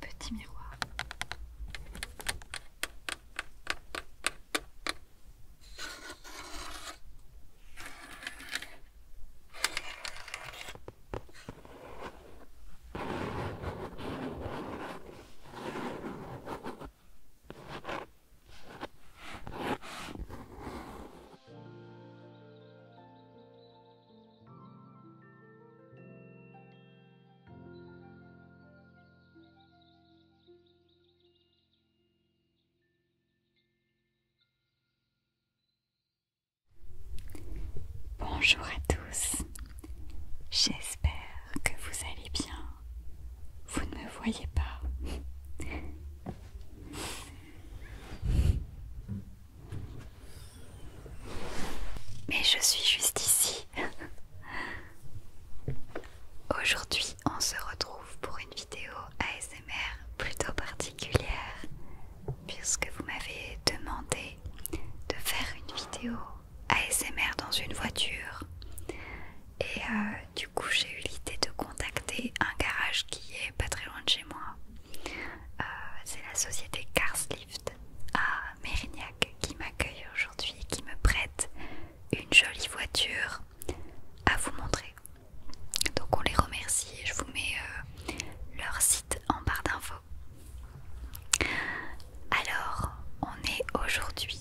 Petit miroir. Bonjour à tous, j'espère que vous allez bien. Vous ne me voyez pas. Mais je suis juste ici. Aujourd'hui, on se retrouve pour une vidéo ASMR plutôt particulière, puisque vous m'avez demandé de faire une vidéo ASMR dans une voiture. Et euh, du coup, j'ai eu l'idée de contacter un garage qui est pas très loin de chez moi. Euh, c'est la société Carslift à Mérignac qui m'accueille aujourd'hui et qui me prête une jolie voiture à vous montrer. Donc on les remercie et je vous mets euh, leur site en barre d'infos. Alors, on est aujourd'hui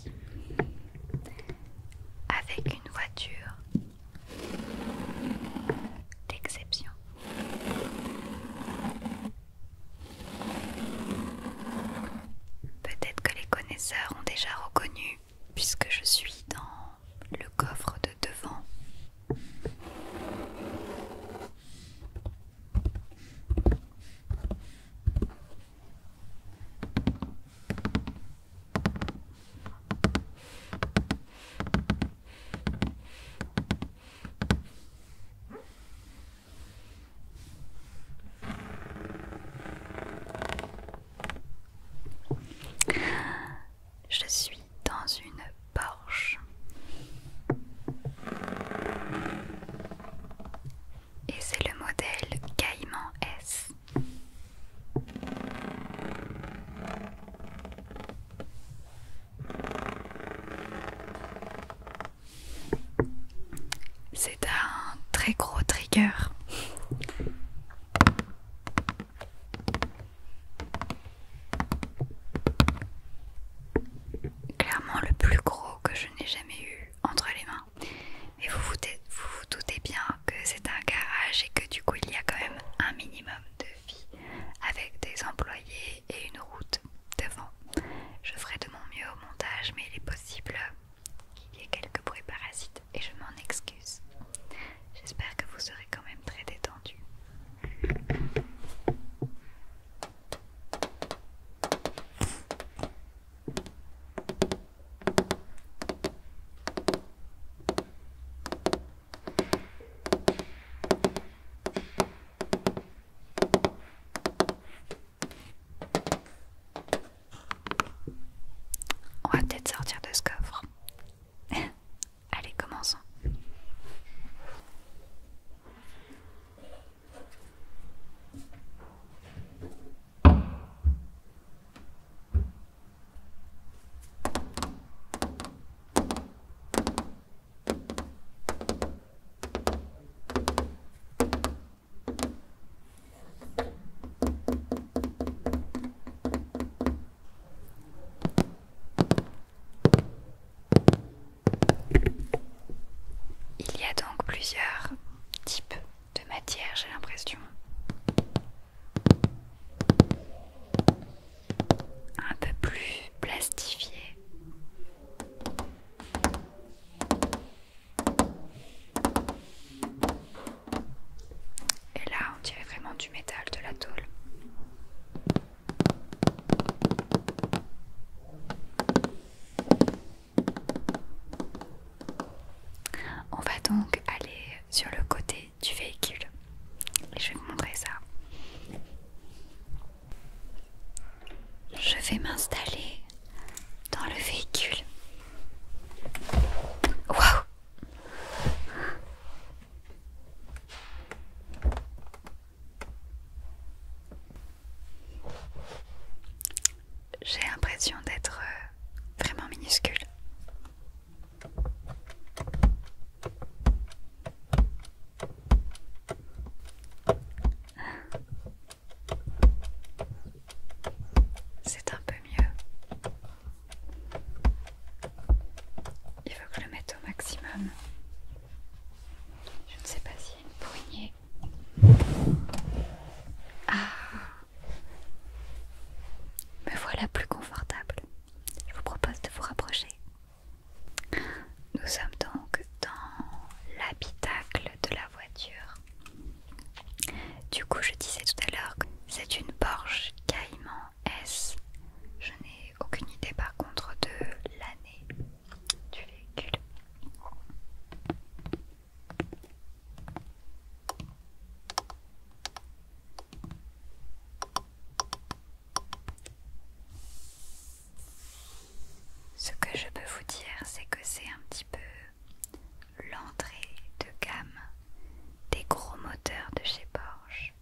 avec une voiture d'exception. Peut-être que les connaisseurs ont déjà reconnu, puisque je suis dans le coffre de devant. Je suis dans une Porsche. Et c'est le modèle Caïman S. C'est un très gros trigger. Clairement le plus gros que je n'ai jamais eu entre les mains. Mais vous vous, vous vous doutez bien que c'est un garage et que du coup il y a quand même un minimum de vie avec des employés et une route devant. Je ferai de mon mieux au montage, mais il est possible qu'il y ait quelques bruits parasites et je m'en excuse. J'espère que vous serez quand même très détendu. On va peut-être sortir de ce coffre. Allez, commençons. Il y a donc plusieurs types de matière, j'ai l'impression un peu plus plastifié. Et là, on dirait vraiment du métal, de la tôle. On va donc aller sur le côté du véhicule. Et je vais vous montrer ça. Je vais m'installer dans le véhicule. Waouh J'ai l'impression d'être euh, vraiment minuscule. C'est un peu mieux. Il faut que je le mette au maximum. Je ne sais pas s'il y a une poignée. Ah Me voilà plus confortable. Je vous propose de vous rapprocher. Nous sommes donc dans l'habitacle de la voiture. Du coup, je disais tout à l'heure que c'est une Porsche Cayman S. Je n'ai aucune idée par contre de l'année du véhicule. Ce que je peux vous dire, c'est que c'est un petit peu l'entrée de gamme des gros moteurs de chez Porsche.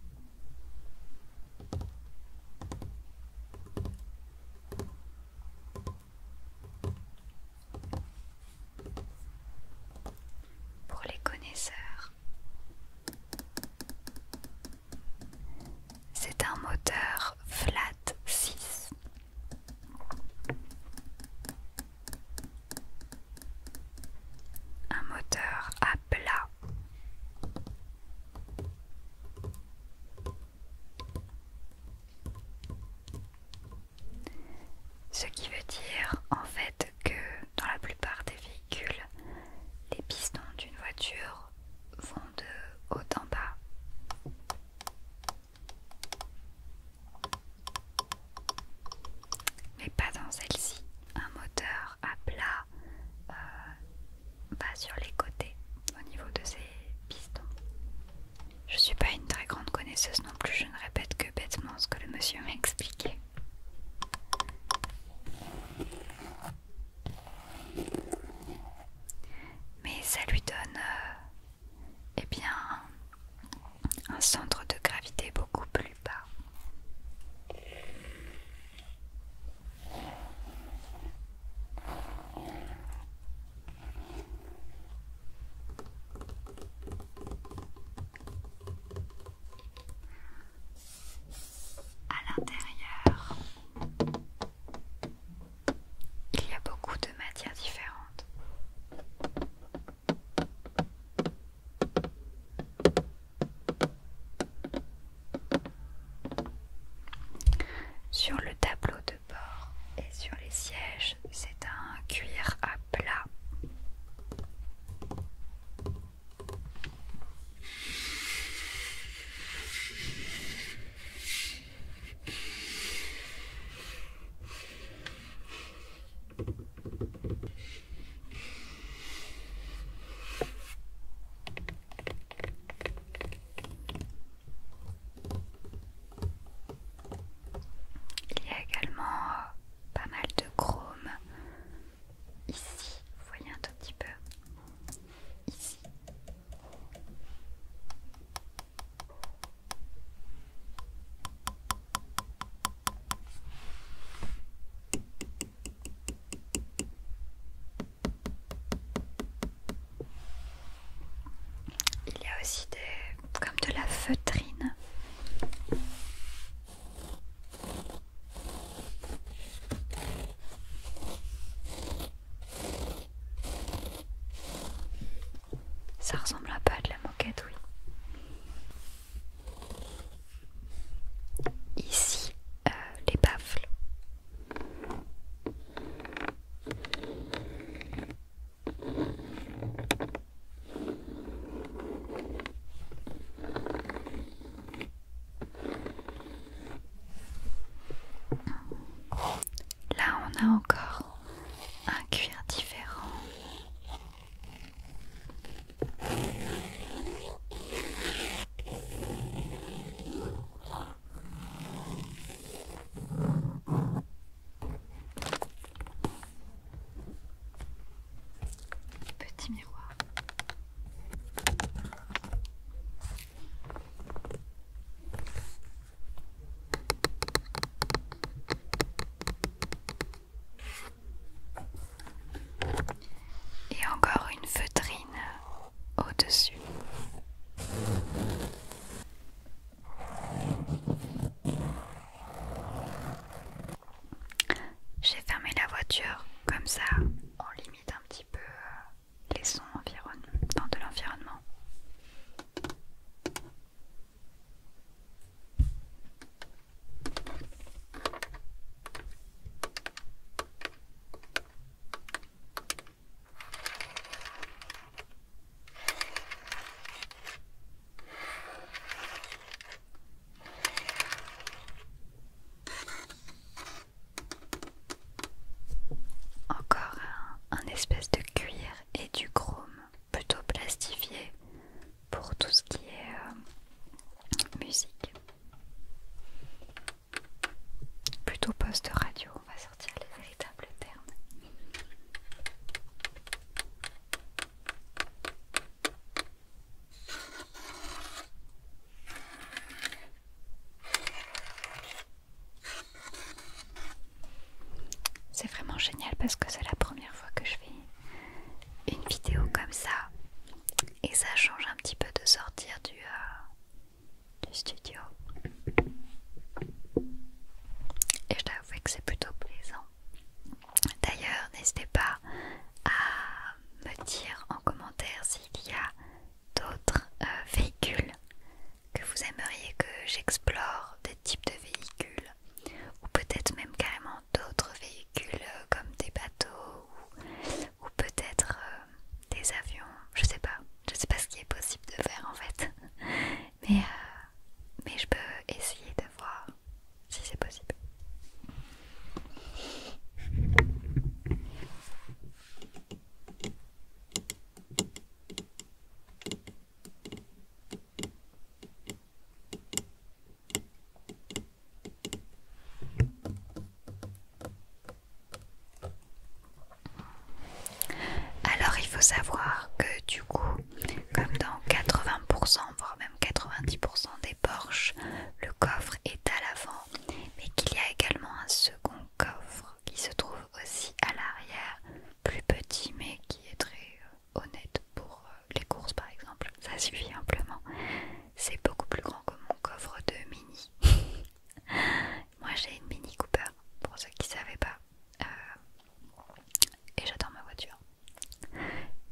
Pour les connaisseurs, c'est un moteur flat 6. Un moteur à plat. Ce qui veut dire en fait que dans la plupart des villes, les pistons d'une voiture vont de haut en bas. Mais pas dans celle-ci. Un moteur à plat euh, va sur les côtés au niveau de ces pistons. Je ne suis pas une très grande connaisseuse non plus, je ne répète que bêtement ce que le monsieur m'a expliqué. Mais ça lui donne euh, eh bien un centre de gravité beaucoup plus bas. À l'intérieur, il y a beaucoup de matières différentes. Sur le tableau de bord et sur les sièges, c'est un cuir à plat. Il y a également euh, pas mal de chrome ici, vous voyez un tout petit peu, ici. Il y a aussi des comme de la feutrine. Ça ressemble à pas à de la moquette, oui. Ici, euh, les baffles. Là, on a encore un cuir différent. Petit miroir. Et encore une feutrine au-dessus. J'ai fermé la voiture, comme ça on limite un petit peu euh, les sons dans de l'environnement. Encore un, espèce de cuir et du chrome plutôt plastifié pour tout ce qui est euh, musique. Plutôt poste radio, on va sortir les véritables termes. C'est vraiment génial parce que c'est la première fois que je fais une vidéo comme ça et ça change un petit peu de sortir du, euh, studio. Et je t'avoue que c'est plutôt plaisant. D'ailleurs, n'hésitez pas à me dire en commentaire s'il y a d'autres euh, véhicules que vous aimeriez que j'explore, des types de véhicules, ou peut-être même carrément d'autres véhicules euh, comme des bateaux ou, peut-être euh, des avions, je sais pas, je sais pas ce qui est possible de faire en fait, mais, mais je peux essayer de voir si c'est possible. Alors il faut savoir que du coup, comme dans 80%, voire même 90% des Porsche, le coffre est à l'avant, mais qu'il y a également un second coffre qui se trouve aussi à l'arrière, plus petit mais qui est très euh, honnête pour euh, les courses par exemple. Ça suffit amplement. C'est beaucoup plus grand que mon coffre de mini. Moi j'ai une mini Cooper, pour ceux qui ne savaient pas. Euh, et j'adore ma voiture.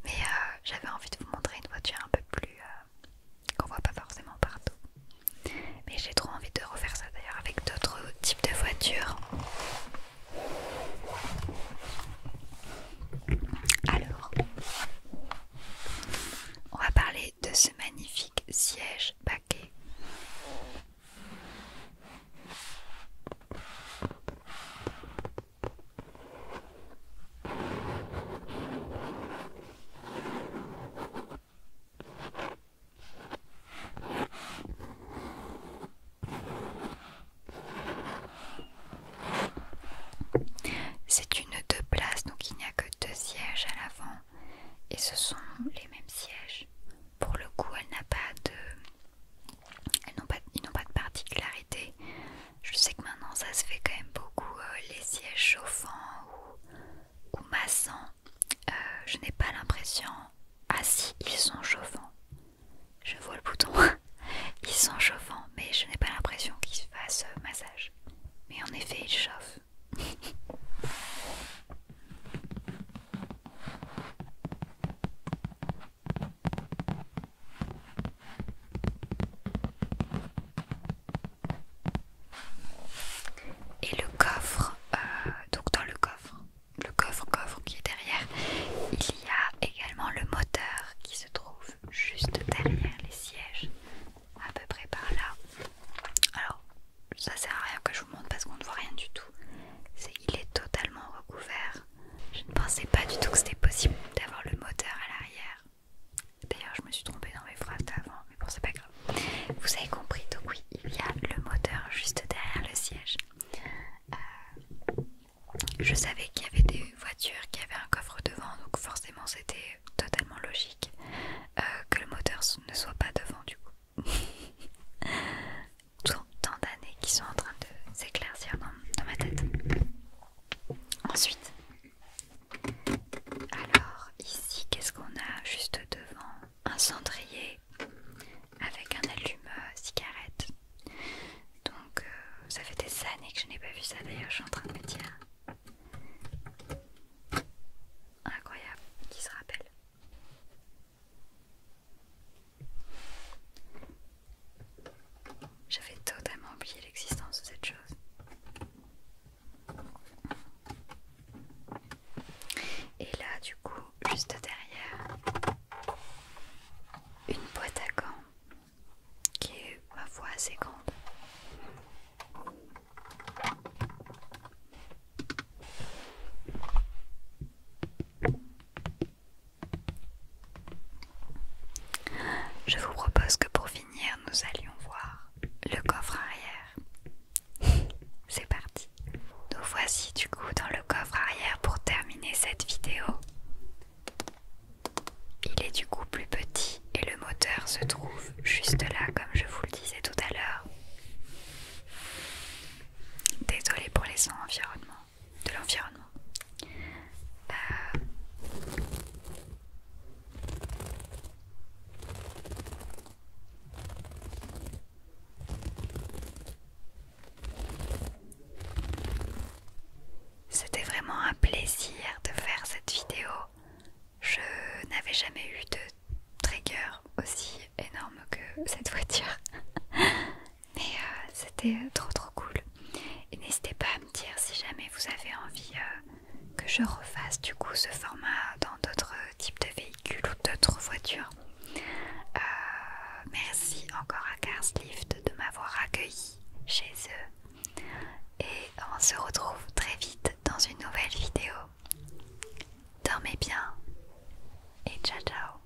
Mais euh, j'avais envie de vous montrer une voiture un peu plus euh, qu'on voit pas forcément partout. Mais j'ai trop envie de refaire ça d'ailleurs avec d'autres types de voitures. Alors, on va parler de ce magnifique siège paquet c'est une deux places, donc il n'y a que deux sièges à l'avant et ce sont les mêmes sièges. Pour le coup, elle n'a pas de n'ont pas, ils n'ont pas de particularité. Je sais que maintenant ça se fait quand même beaucoup euh, les sièges chauffants ou, massants. Euh, je n'ai pas l'impression. Ah si, ils sont chauffants. Je vois le bouton. ils sont chauffants, mais je n'ai pas l'impression qu'ils fassent euh, massage. Mais en effet, ils chauffent. Et le coffre, euh, donc dans le coffre, le coffre-coffre qui est derrière, il y a également le moteur qui se trouve juste derrière les sièges, à peu près par là. Alors, ça sert à rien que je vous montre parce qu'on ne voit rien du tout. C'est, il est totalement recouvert je ne pensais pas du tout que c'était possible d'avoir le moteur à l'arrière. D'ailleurs, je me suis trompée dans mes phrases avant, mais bon, c'est pas grave. Vous avez compris, donc oui, il y a le moteur juste derrière le siège. Euh, je savais qu'il y avait des voitures qui avaient un coffre devant, donc forcément, c'était totalement logique euh, que le moteur ne soit pas devant, du coup. Tant d'années qui sont en train de s'éclaircir dans ma tête. Ensuite, alors ici, qu'est-ce qu'on a juste devant Un cendrier avec un allume-cigarette. Donc, euh, ça fait des années que je n'ai pas vu ça. D'ailleurs, je suis en train de me dire. Incroyable, qui se rappelle j'avais totalement oublié l'existence de cette chose. Et là, du coup, juste derrière, une boîte à gants qui est ma voix assez grande. Je vous propose que pour finir, nous allions voir le coffre arrière. C'est parti. Nous voici du coup dans le coffre arrière pour terminer cette vidéo. Il est du coup plus petit et le moteur se trouve juste là comme je vous le disais tout à l'heure. Désolé pour les sons environnement de l'environnement. Euh, c'était vraiment un plaisir de faire cette vidéo. Je n'avais jamais eu de trigger aussi énorme que cette voiture. Mais euh, c'était euh, trop trop cool. Et n'hésitez pas à me dire si jamais vous avez envie euh, que je refasse du coup ce format dans d'autres types de véhicules ou d'autres voitures. merci encore à Carslift de m'avoir accueilli chez eux. Et on se retrouve très vite dans une nouvelle vidéo. Dormez bien et ciao ciao